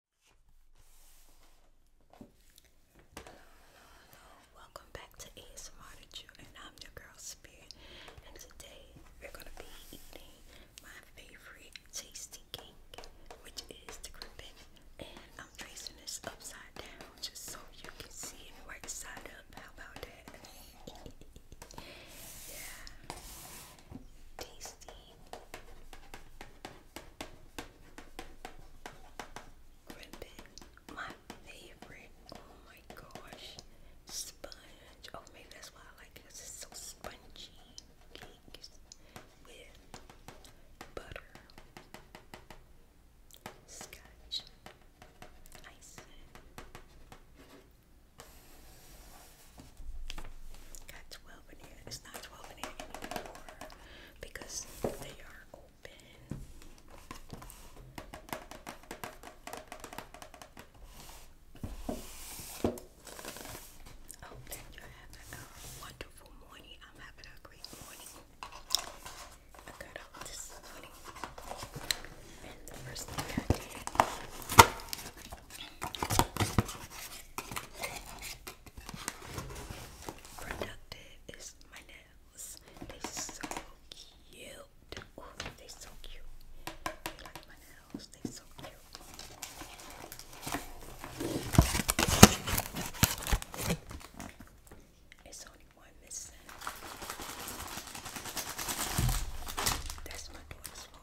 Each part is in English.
Hello, hello, hello. Welcome back to ASMR to Chew, and I'm your girl Spirit. And today we're gonna be eating my favorite tasty cake, which is the crimpin. And I'm tracing this upside down just so you can see it right side up. How about that? yeah, tasty Ribbon, my favorite. Oh my gosh, sponge. Oh, maybe that's why I like it. Cause it's so spongy. Cakes with butter, scotch, icing. Got 12 in here. It's not 12 in here anymore because they are open. Oh, then you have a uh, wonderful morning. I'm having a great morning. I got up this morning. And the first thing I did Productive is my nails. They so cute. Oh, they so cute. I like my nails. They so cute. It's only one missing. That's my daughter's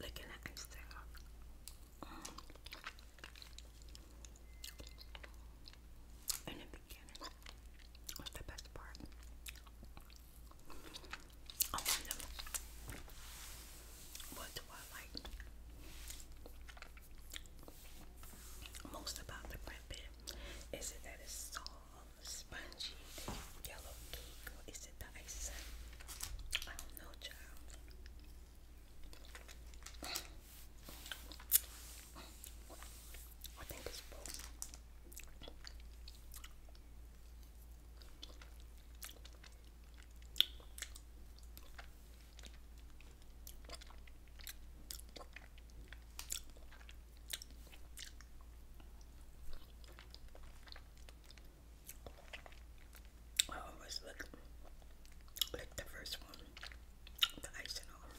Looking at Instagram. Mm. In the the best part. What do I like most about the bread bit? Is it that it's soft, spongy, yellow cake? tasted the I don't know, child. I think it's both. I always look like the first one, the icing on.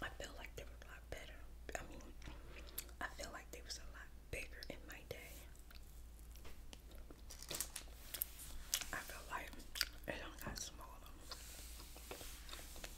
I feel like they were a lot better. I mean, I feel like they was a lot bigger in my day. I feel like it do got smaller.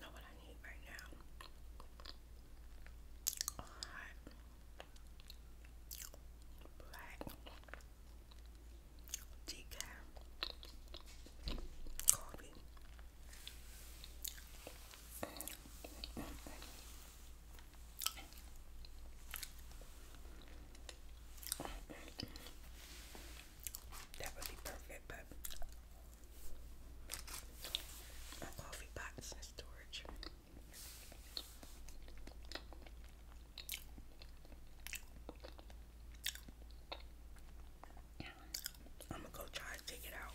Not what I need right now. black, decaf, coffee that would be perfect, but coffee pot's in storage. I'm gonna go try and take it out.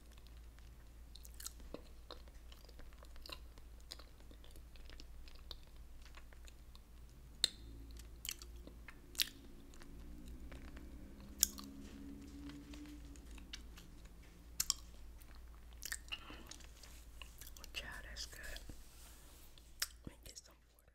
Chad, that's good. Let me get some water.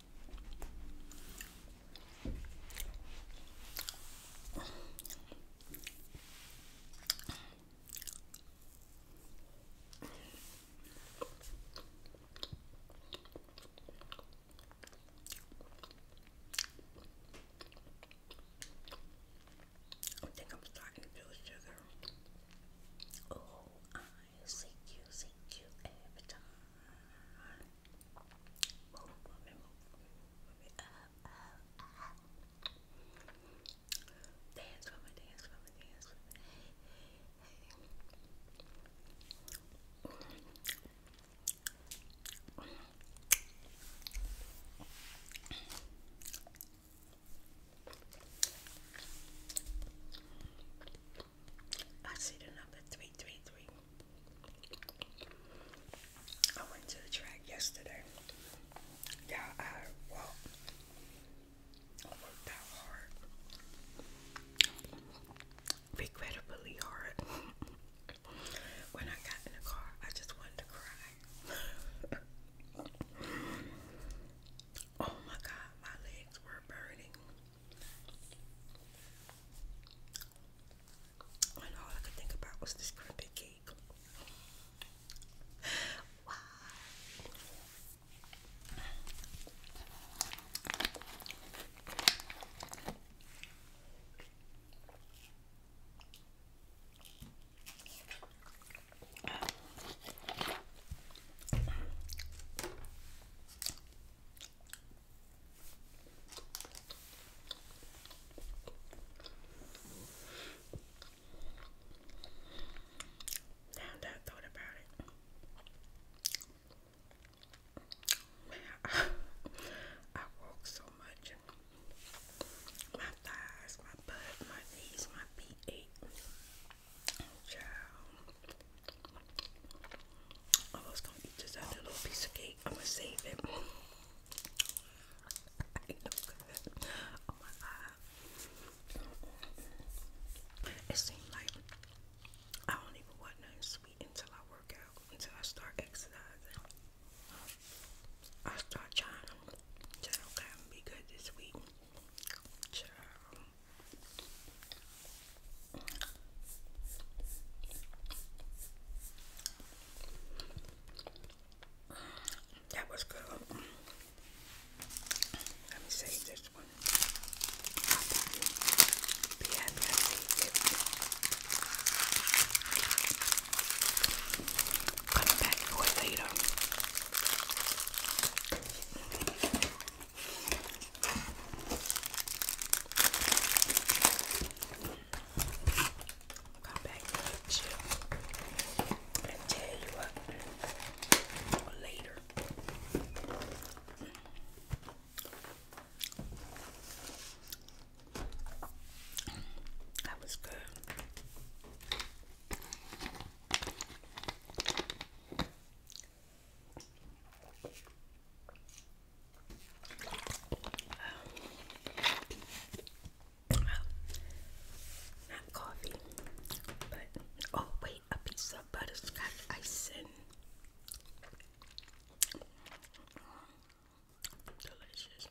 I think I'm starting to feel sugar. Oh, I see you, see you every time. Move, move, move, move, move. Up, up, up. Dance for me, dance for me, dance for me. Hey, hey. I see the number 333. I went to the track yesterday. Yeah, I worked out hard. Regrettably hard. when I got in the car, I just wanted to cry. oh my god, my legs were burning. And all I could think about was this crimpy cake. Wow. Now that thought about it, I, walk so much. My thighs, my butt, my knees, my feet Child. I was gonna eat this other little piece of cake. I'm gonna save it. oh It seemed like I don't even want nothing sweet until I work out, until I start exercising. I start trying to okay, i be good this week. Child. That was good. Let me save this one. Be happy I saved it. Coming back for it later. Come back to tell you later. That was good not coffee, but oh, wait, a piece of butterscotch icing. Delicious.